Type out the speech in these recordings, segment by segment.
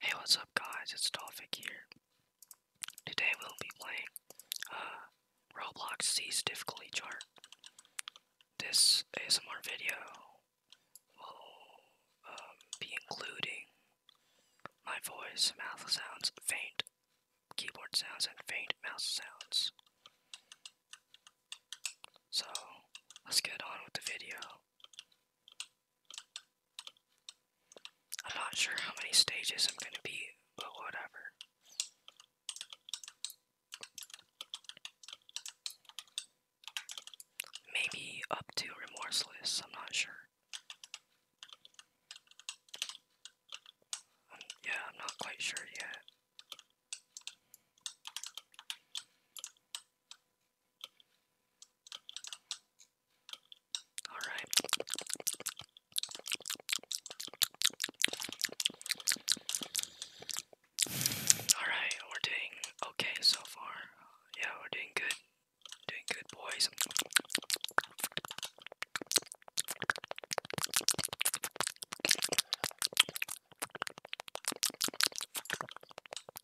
Hey, what's up, guys? It's Tofik here. Today we'll be playing uh, Roblox C's difficulty chart. This ASMR video will um, be including my voice, mouth sounds, faint keyboard sounds, and faint mouse sounds. So let's get on with the video. I'm not sure how many stages I'm gonna be, but whatever. Maybe up to Remorseless, I'm not sure. Um, yeah, I'm not quite sure yet. All right. All right, we're doing okay so far. Yeah, we're doing good. Doing good, boys.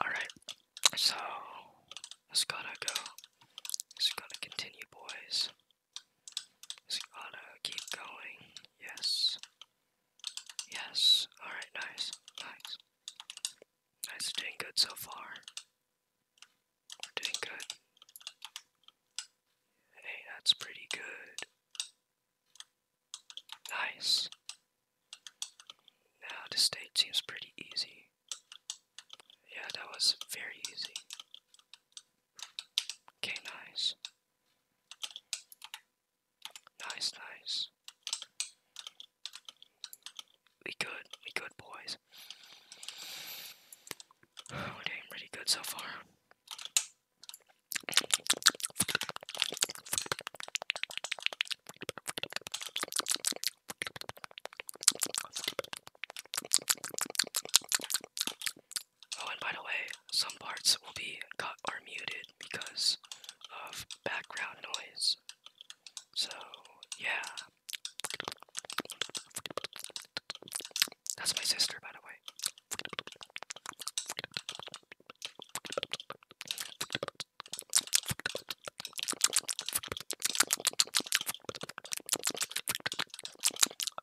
Alright, so it's gotta go. It's to continue, boys. It's gotta keep going. Yes. Yes. Alright, nice. Nice. Nice, doing good so far. We're doing good. Hey, that's pretty good. Nice. Now this stage seems pretty easy. Yeah, that was very easy. Okay, nice. Nice, nice. We good. We good, boys. We're doing pretty good so far. Oh, and by the way, some parts will be cut or muted because of background noise. So, yeah, that's my sister, by the way.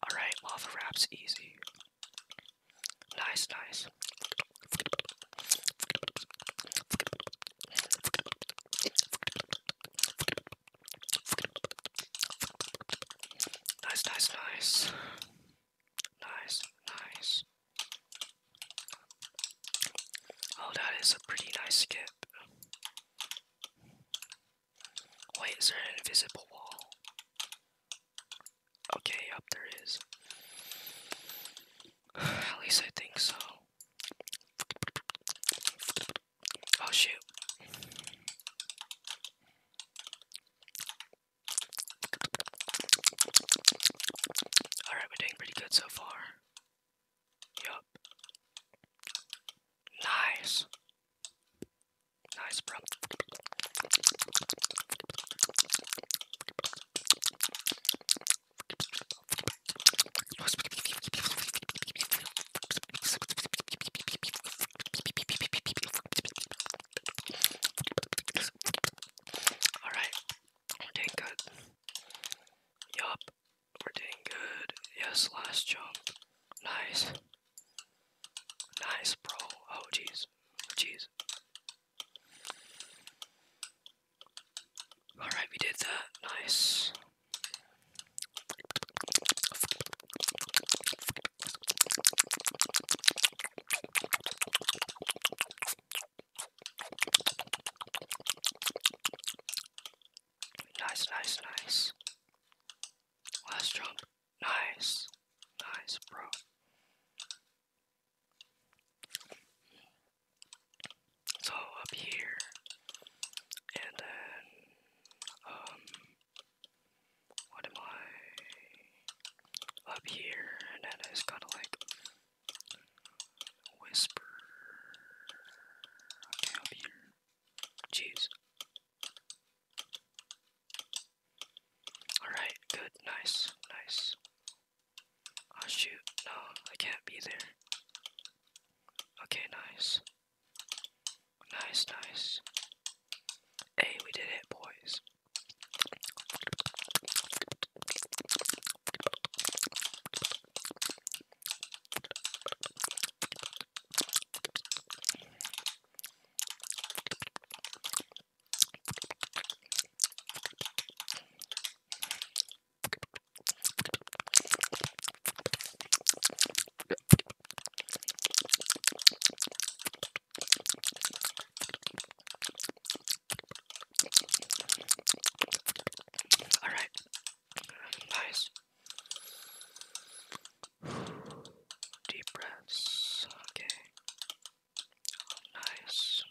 Alright, lava wraps easy. Nice, nice. Nice, nice, nice. Nice, nice. Oh, that is a pretty nice skip. Wait, is there an invisible wall? Okay, up there is. At least I think so. Oh shoot. Alright, we're doing pretty good so far. Yup. Nice. Nice, bro. All right, we're doing good. Yup, we're doing good. Yes, last jump. Nice. Nice, bro. Oh, jeez. Oh, jeez. Alright, we did that. Nice. Nice, nice, nice. Last jump. Nice. Nice, bro. So up here, and then, um, what am I? Up here, and then it's kind of like whisper. Okay, up here. Jeez. Alright, good, nice, nice. Oh shoot, no, I can't be there. Okay, nice. Nice, nice. Hey, we did it, boys. All right, guys. Deep breaths. Okay. Nice.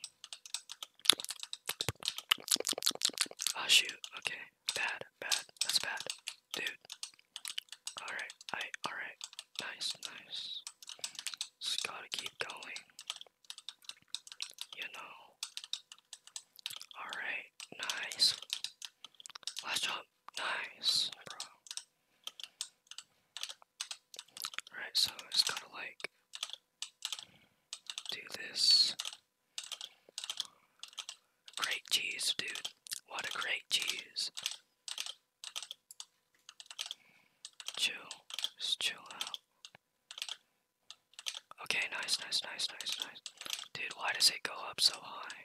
Ah, shoot. Okay. Bad, bad, that's bad. Dude. Alright, I alright. Nice, nice. Just gotta keep going. You know. Alright, nice. Last job. Nice, bro. Alright, so just gotta like do this. Great cheese, dude. What a great cheese. Chill. Just chill out. Okay, nice, nice, nice, nice, nice. Dude, why does it go up so high?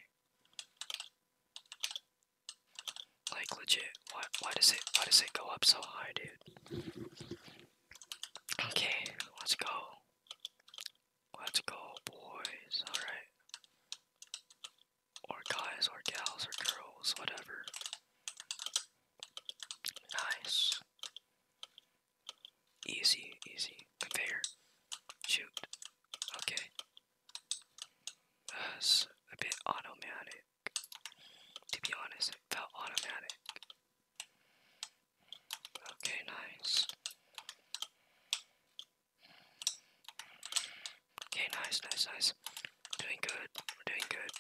Like legit, why why does it why does it go up so high, dude? Okay, let's go. Let's go, boys. Alright. Or guys, or gals, or girls, whatever. Nice. Easy, easy. Conveyor. Shoot. Okay. That's a bit automatic. To be honest, it felt automatic. Okay, nice. Okay, nice, nice, nice. Doing good. We're doing good.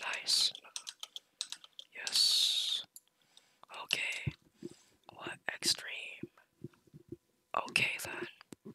Nice. Yes. Okay. What extreme? Okay then.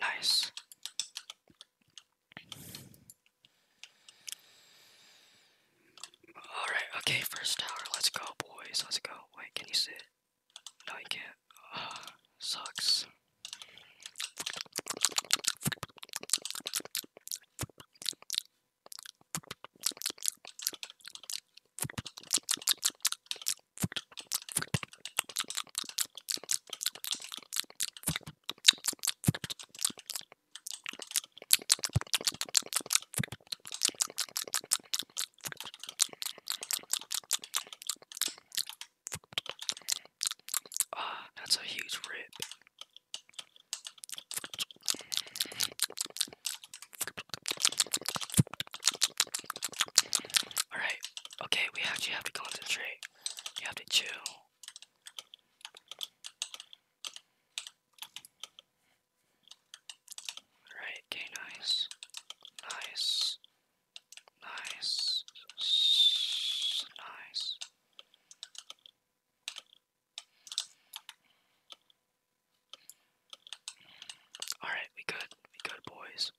Nice. Alright, okay, first tower. Let's go, boys. Let's go. Wait, can you sit? No, you can't. sucks. Ah, oh, that's a huge rip. Alright, okay, we actually have to concentrate. You have to chill. Alright, okay, nice. Nice. Nice. nice. Alright, we good. We good, boys.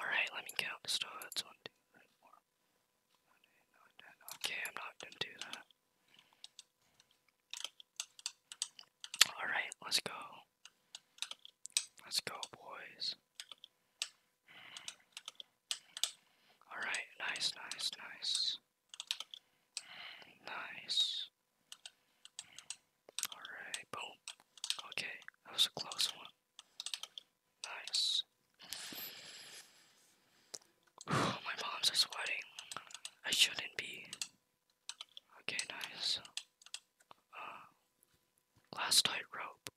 Alright, let me count the studs. One, two, three, four. Okay, I'm not gonna do that. Alright, let's go. Let's go, boys. Alright, nice, nice, nice. Nice. Alright, boom. Okay, that was a close one. Nice. my palms sweating. I shouldn't be. Okay, nice. Uh, last tight rope.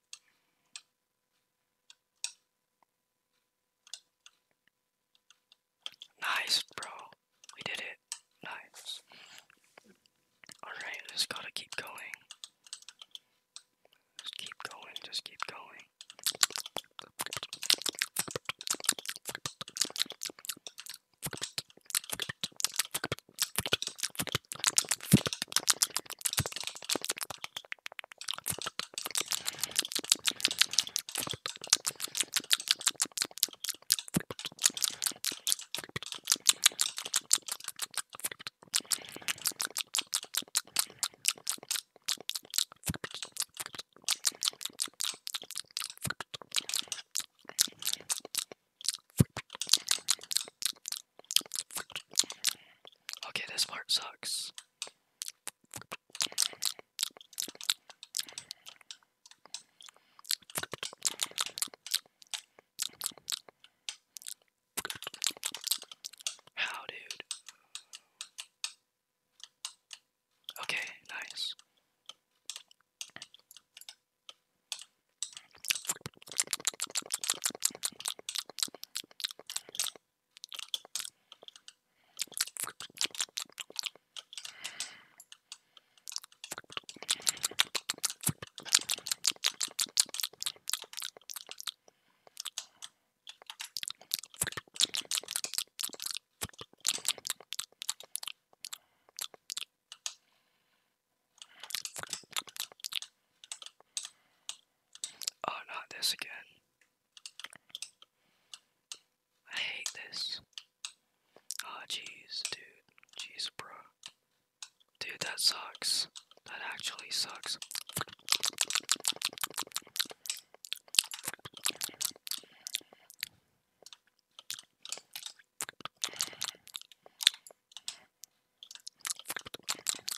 Nice, bro. We did it. Nice. Alright, just gotta keep going. Just keep going, just keep going. Okay, this part sucks. How, dude? Okay, nice. Oh, not this again. I hate this. Oh jeez, dude. Jeez, bro. Dude, that sucks. That actually sucks.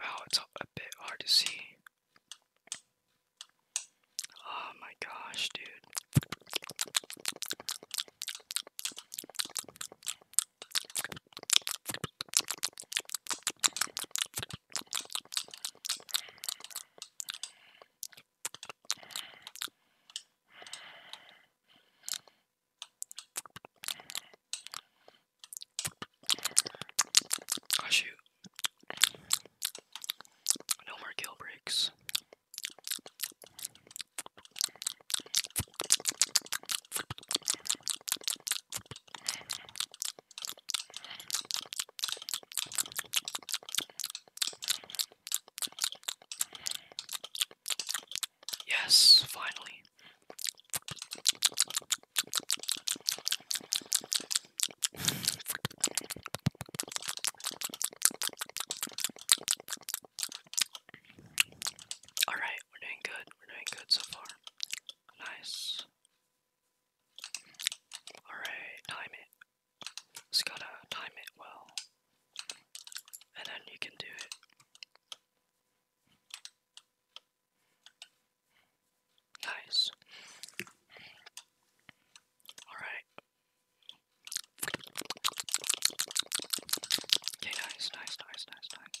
Wow, it's a bit hard to see. Oh my gosh, dude. Oh shoot. No more kill breaks. Yes, finally. All right, we're doing good. We're doing good so far. Nice. All right, time it. Just gotta time it well, and then you can do it. Nice. All right. Okay, nice, nice, nice, nice, nice.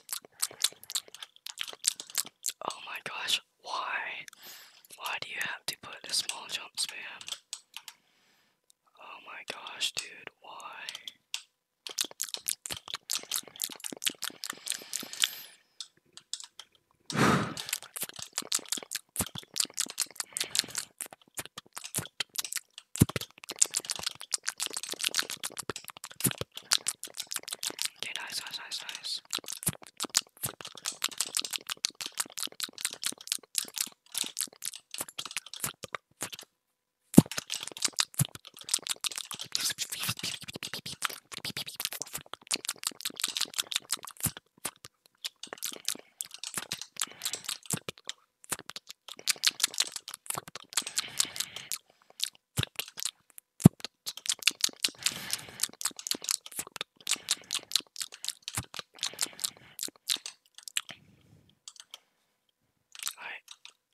Oh my gosh, why? Why do you have to put a small jump spam? Oh my gosh, dude, why? Okay, nice, nice, nice, nice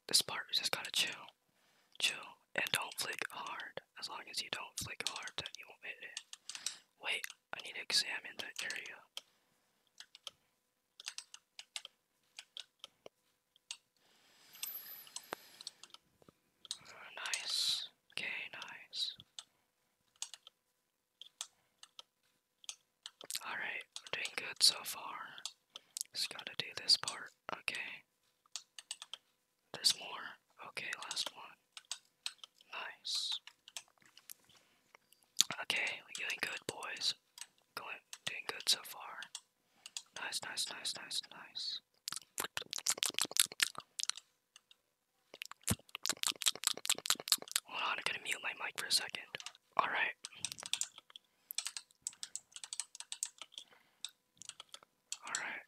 this part you just gotta chill. Chill and don't flick hard. As long as you don't flick hard, you won't hit it. Wait, I need to examine that area. Nice. Okay, nice. Alright, doing good so far. Just gotta do this part. Okay. There's more. Okay, last one. Nice. Okay, we're doing good, boys. Going doing good so far. Nice, nice, nice, nice, nice. Hold on, I'm gonna mute my mic for a second. Alright. Alright.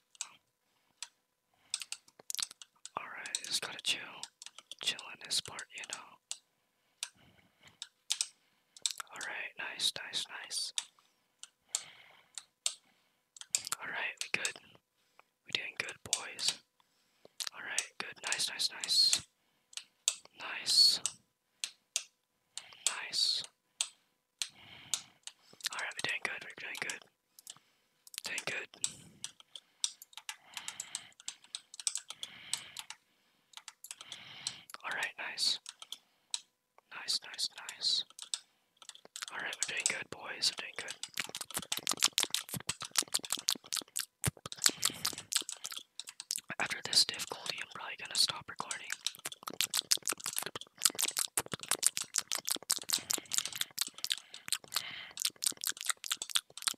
Alright, just gotta chill. Chill in this part, you know. Alright, nice, nice, nice. Alright, we good. We doing good, boys. Alright, good. Nice, nice, nice. Nice. Nice. Alright, we doing good, we doing good. Doing good. Alright, nice. Nice, nice, nice. Alright, we're doing good, boys. We're doing good. After this difficulty, I'm probably gonna stop recording.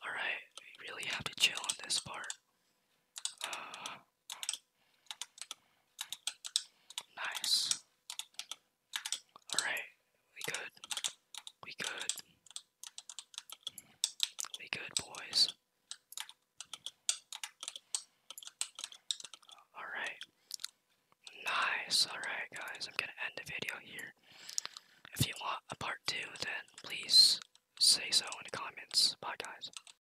Alright, we really have to chill on this part. Uh, Nice. Alright, we good. We good. We good, boys. Alright. Nice. Alright, guys, I'm gonna end the video here. If you want a part two, then please say so in the comments. Bye, guys.